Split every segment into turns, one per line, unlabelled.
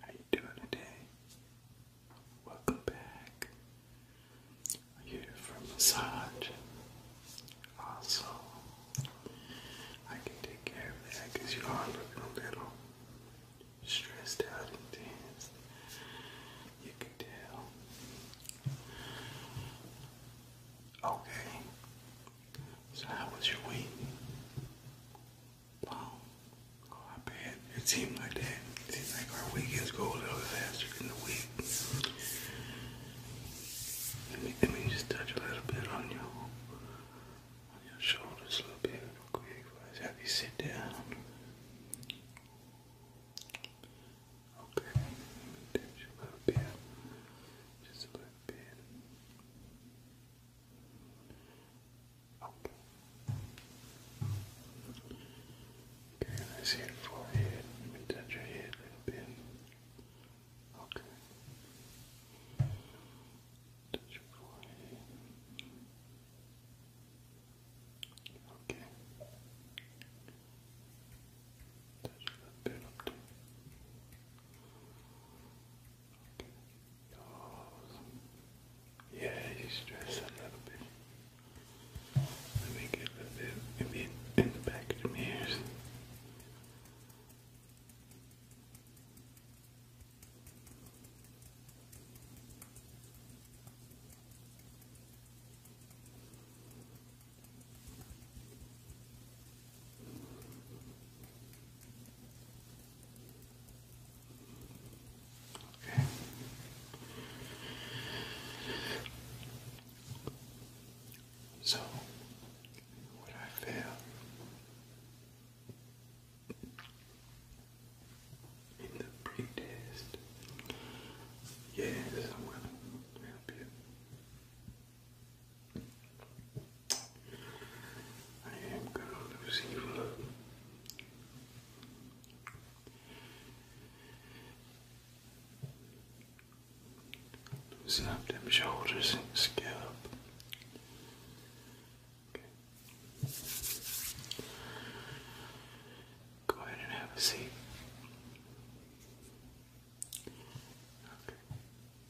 How you doing today? Welcome back. I'm here massage. Also, I can take care of that because you are looking a little stressed out You can tell. Okay. So how was your week? Wow. Oh, I bet it seems like that. It seems like our weekends go a little faster than the week. Let me, just touch a little bit on your, on your shoulders a little bit real quick. Let's have you sit down. Okay, touch a little bit. Just a little bit. Okay, I see your forehead. Let me touch your head a little bit. Okay. Touch your forehead. Okay. Touch a little bit up there. Yeah, you stress a little bit. Let me get a bit in the back of the ears. So, what I feel in the pre yes, I'm going to help you. I am gonna lose you. Loosen up them shoulders and scalp. Go ahead and have a seat. Okay.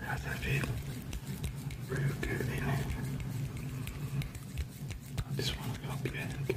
How's that feel? Real good, ain't it? I just want to go get it.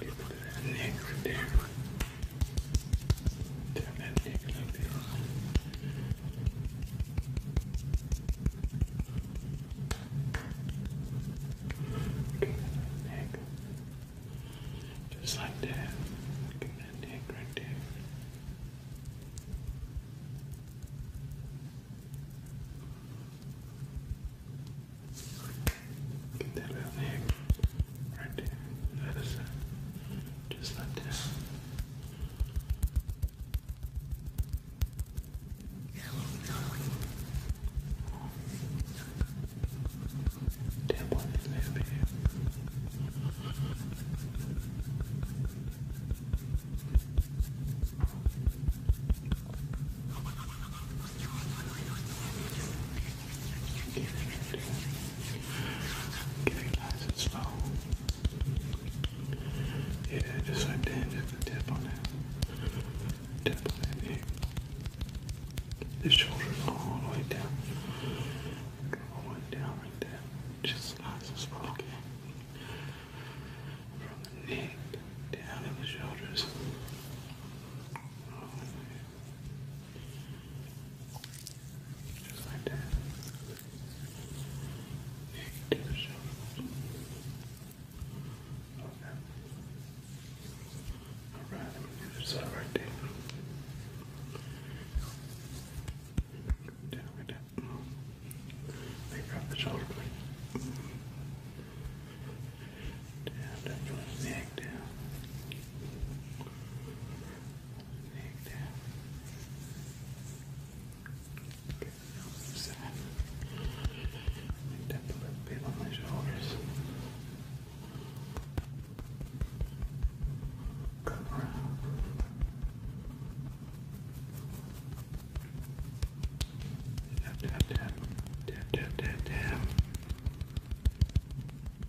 Get that neck there. Turn that neck like Just like that. Look that neck right there. Get that out of Right there. That is it. Just like that. Damn one is over Getting nice and slow. Yeah, just like that, just a tap on that. Tap on that neck. The shoulders all the way down. All the way down right there. Just nice and slow, From the neck down to the shoulders. Just like that. Take the shoulders. Okay. Alright, let me do this side right there. Down like that. Let me the shoulder down, down, your neck down. down. Okay, now side. a little bit on my shoulders. Come around. Tap, tap, tap, tap, tap, tap, tap.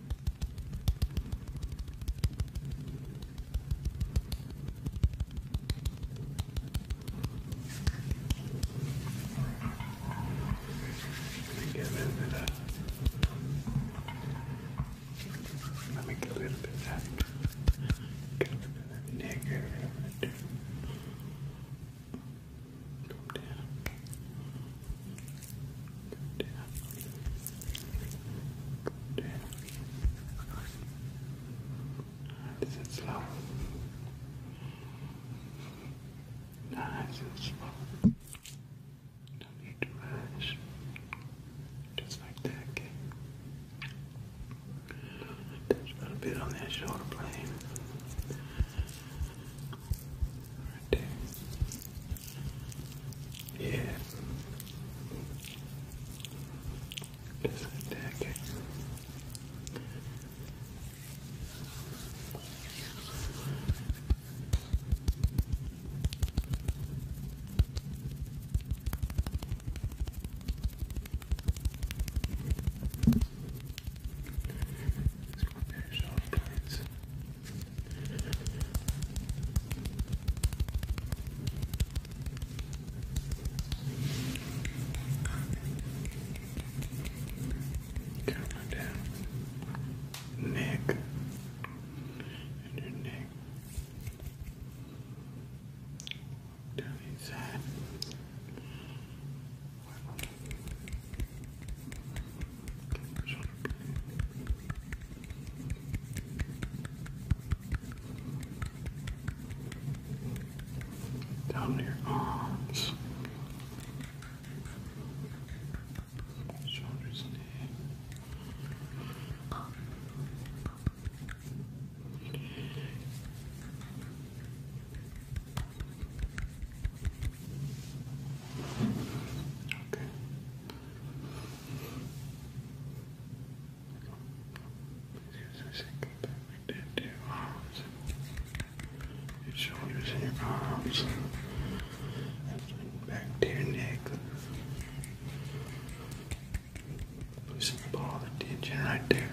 Let me get a little bit of that. Let me get a little bit of that. Get a little bit of that neck. Get a little bit of that. Come down. down. down. Nice slow. Nice and slow. Don't need to rush. Just like that, okay? Touch a little bit on that shoulder blade. Right there. Yeah. Just like that, okay. Let's go finish off, guys. Camera down. Neck. And your neck. Down inside. Down your arms, shoulders, Okay. Yes, I think we did your arms. Your shoulders and your arms. And back to your neck. Loosen up all the tension right there.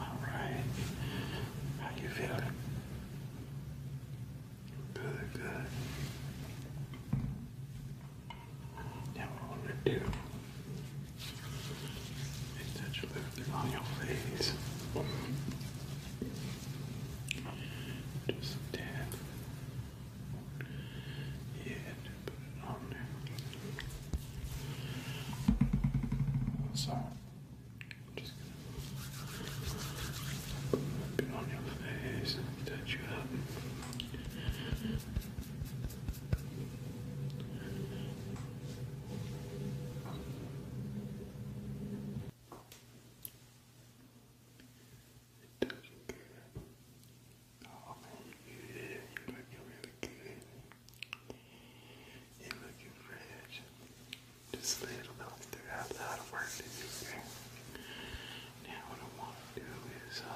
All right. How you feeling? Good, good. Now we're gonna do is on your face. Just tap. Yeah, put it on there. So, I'm just be on your face and you up. It does good. Oh you did. really good. You looking fresh. Just a little bit. Still got a lot of work to do here. Now what I want to do is uh,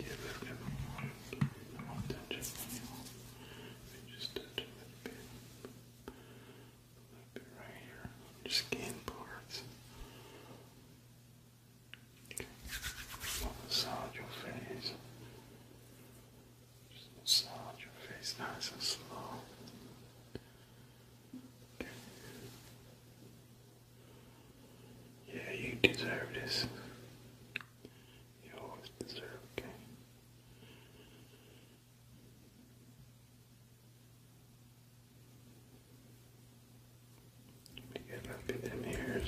get a little more, I want to touch just touch a little bit, a little bit right here your skin parts. Okay. massage your face. Just massage your face nice and slow. Yeah, you deserve this. You always deserve, okay? Let me get a look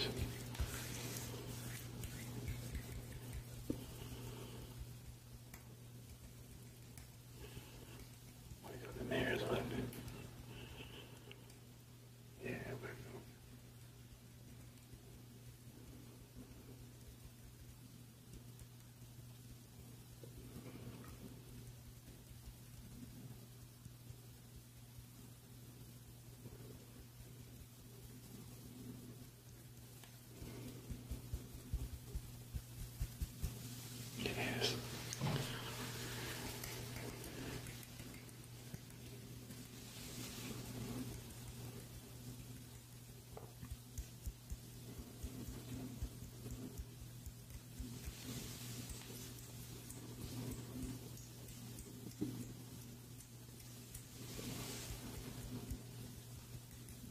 we got the mayor's left. Yeah, we it is.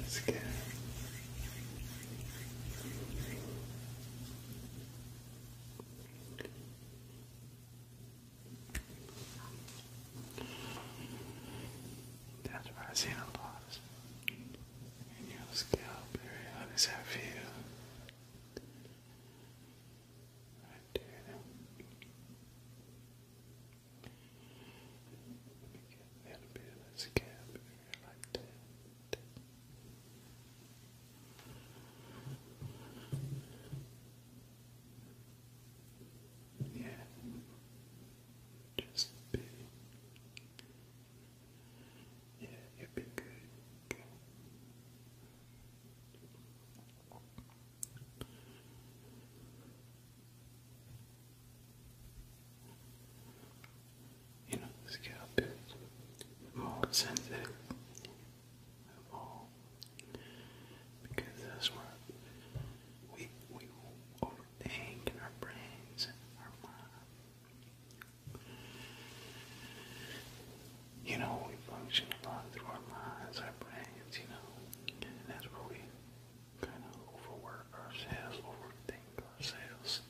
It's good. That's what I've seen a lot. your scalp area, how does that feel? Right there Let me get a bit of this cap here like Yeah. Just a yeah, you'll be good. You know, the scalp is more sensitive of because that's where we we overthink in our brains and our mind. You know, we function a lot through our minds, our brains, you know, that's where we kind of overwork ourselves, overthink ourselves,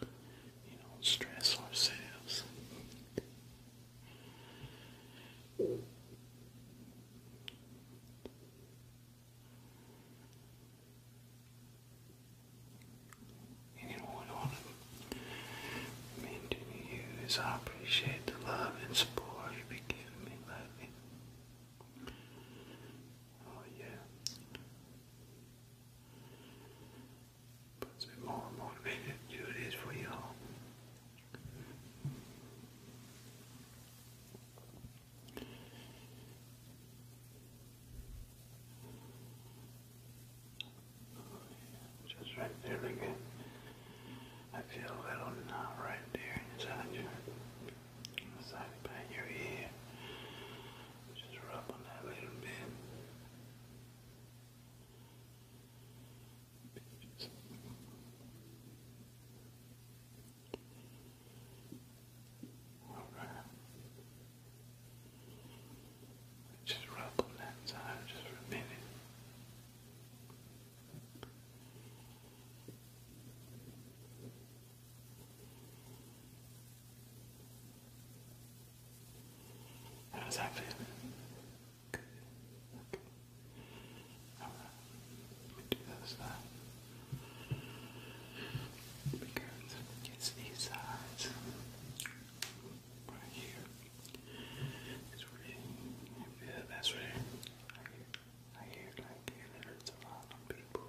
you know, stress ourselves and you them. Men to be used. I appreciate the love and support you've been giving me lately. Oh yeah. Puts me more motivated to do this for y'all. Just right there again. I feel a little knot right there inside your inside behind your ear. Just rub on that little bit. Just all right. Just rub on that side just for a minute. How's that feeling? Good. Okay. All right. Let me do that side. Because it's these sides right here. It's really, yeah, that's really, I hear, I hear like it hurts a people.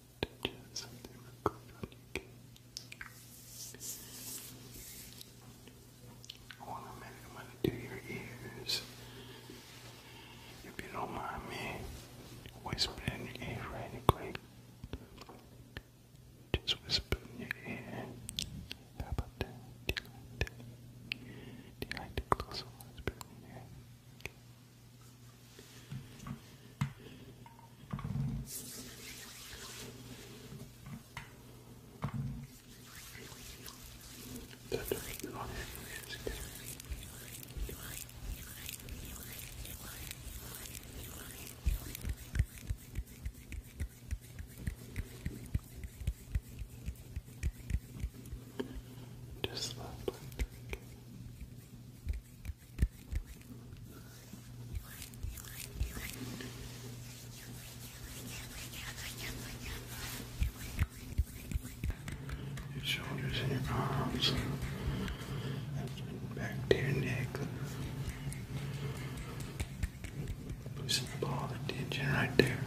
touch One minute, I'm gonna do your ears. If you don't mind me whispering in your ear right quick. Just whisper in your ear. How about that? Do you like that? Do you like the closer whisper in your ear? Just left, I think. Your shoulders and your arms, back to your neck. Loosen all the tension right there.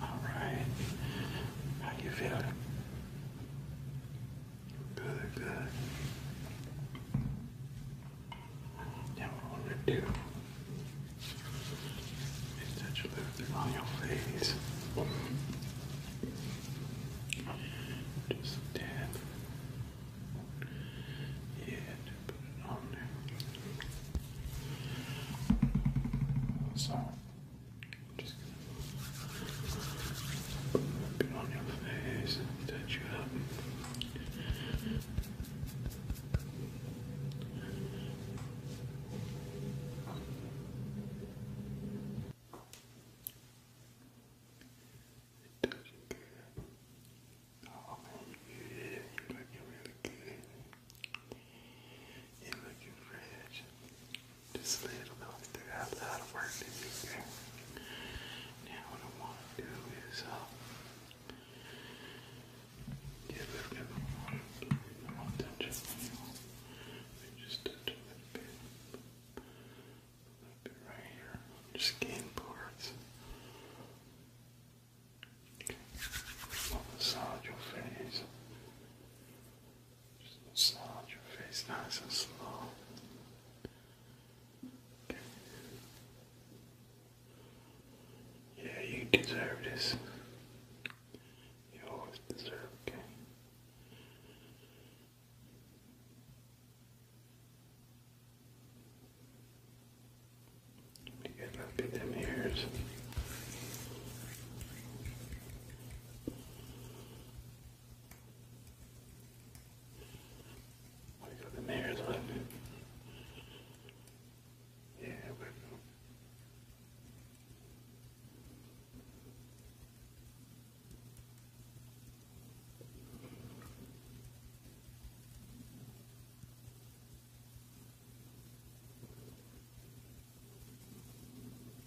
All right. How you feeling? Good, good. Now what I want to do touch a little bit on your face. Just dab. Yeah, put it on there. So just put on your face touch you up. It does good. Oh You're looking really good. You're looking fresh. Just a little bit there. I have a lot Now what I want to do is uh get a little bit more. I want to touch up you. Know, just touch a little bit. A little bit right here. Just game Okay. I'll massage your face. Just slide your face nice and slow. Okay. Yeah, you deserve this. You always deserve, okay? Let get a look at ears. We got the mayor's one. Yeah, but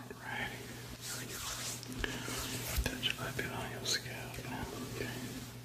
Alrighty, you Touch a little on your scalp okay?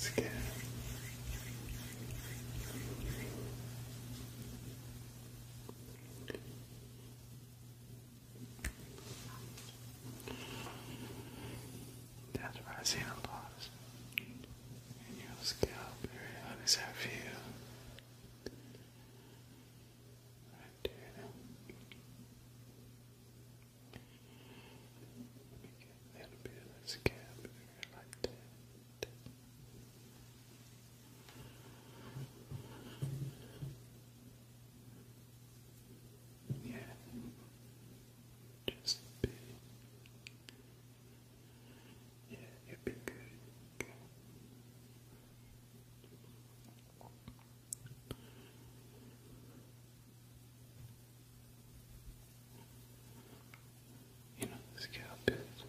Let's that's where I see the loss in your scalp area. How does Right there now. Okay, bit of this Yeah, just a bit. Yeah, it'd be good. You know, the scalp is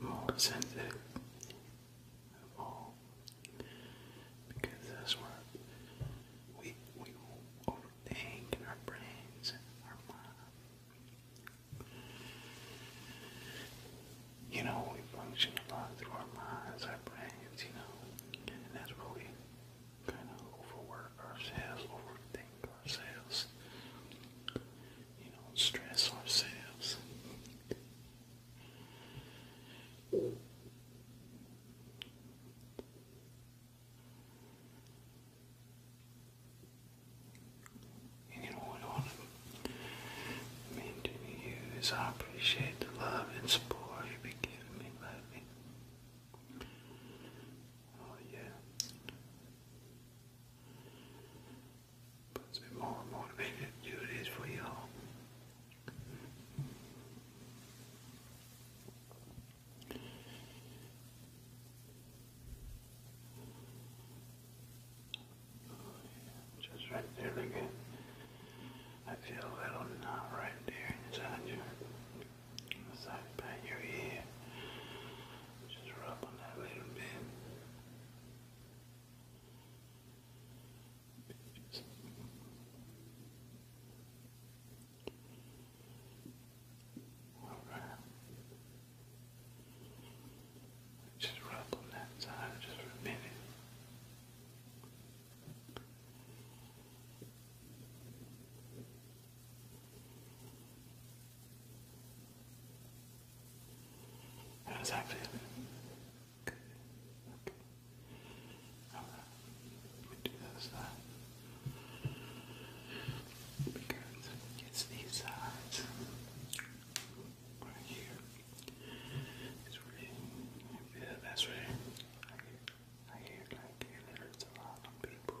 more sensitive of because that's where we we overthink in our brains and our mind. You know, we function a lot through our minds, our brains, you know, and that's where we kind of overwork ourselves, overthink ourselves, you know, stress ourselves. And all I mean to you is I appreciate the love and support you've been giving me Oh yeah. Puts me more motivated to do this for y'all. Just right there again. I feel a little knot right there inside your inside by your ear. Just rub on that little bit. All right. Just rub on that side just for a minute. How's that feeling? Okay. Alright. Let me do that side. Because it's these sides right here. It's really yeah, that's right. I hear, I hear like it hurts a lot people.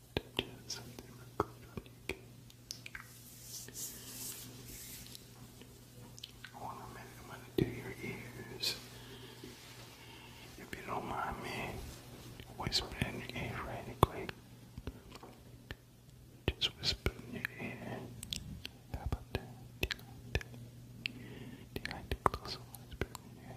did minute, I'm gonna do your ears. If you don't mind me whispering in your ear right quick. Just whisper in your ear. How about that? Do you like that? whisper in your ear?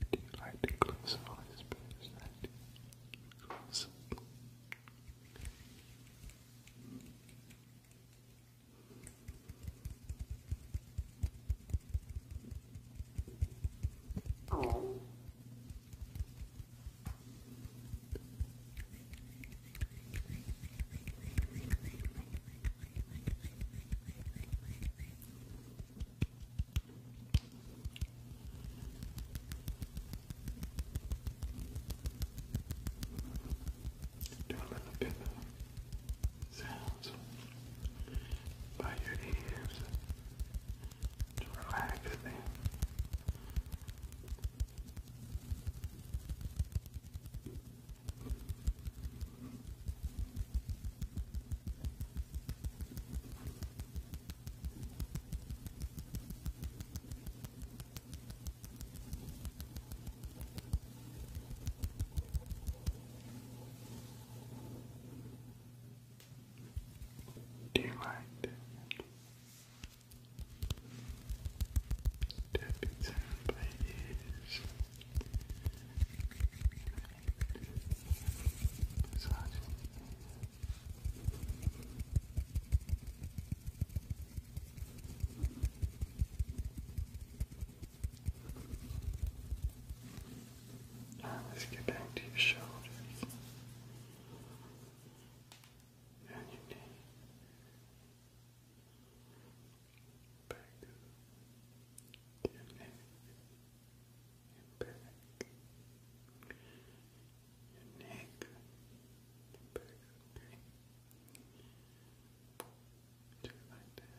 Do you like to close eyes, do a little bit of sounds by your ears to relax them. Relax. Do you mind tapping sound by ears? Massaging. let's get back to your shoulders down your knee, back to your neck, and back, your neck, and back, okay? like that.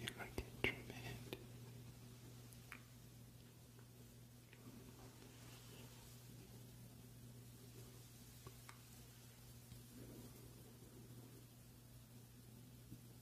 You like it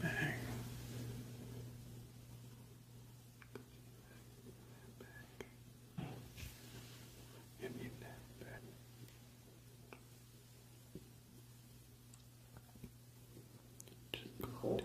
Bang. Bang. You need that bed. Just go down.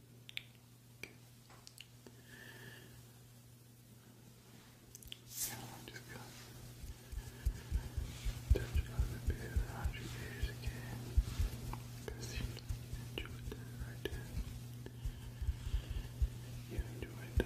Okay. just going to touch on the bit around your again because you enjoyed that right there. You enjoyed the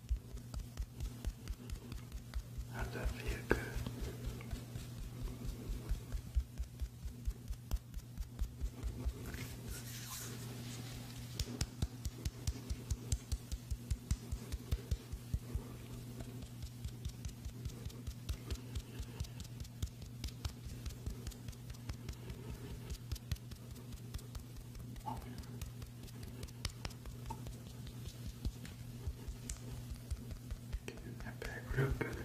How does that feel good? Getting that back real good.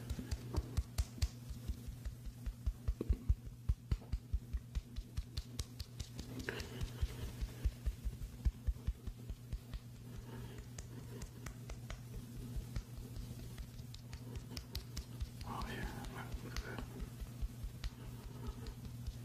Oh yeah, look at that.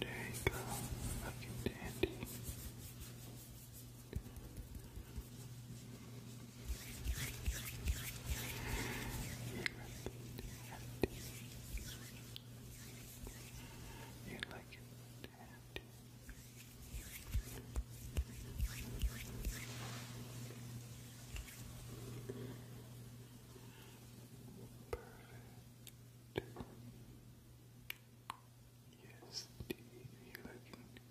There you go. Looking dandy. You like it dandy. Perfect. Yes, Steve, you looking tremendous.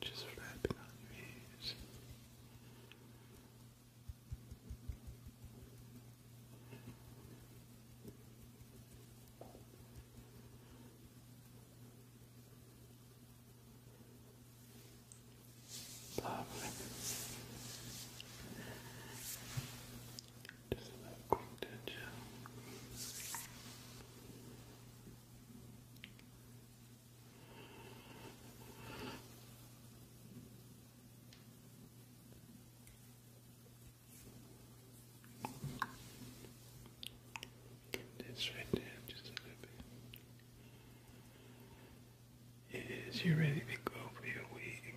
Just flapping on your ears. Lovely. Just a quick touch. Get this right there, just a little bit. Yes, you ready to go for your week.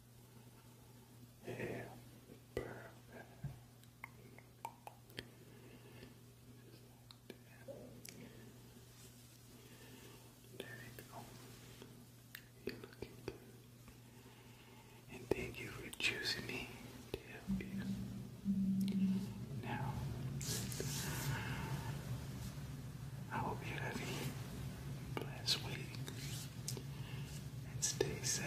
Yeah, perfect. There you go. You looking good. And thank you for choosing me to help you. Now, I hope you're a blessed week and stay safe,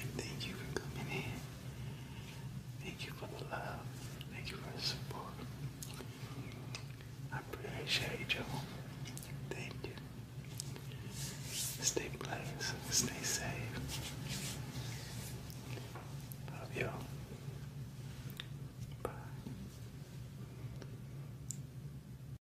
And thank you for coming in. Thank you for the love. Thank you for the support. I appreciate you. Thank you. Stay blessed. Stay safe. Love y'all. Bye.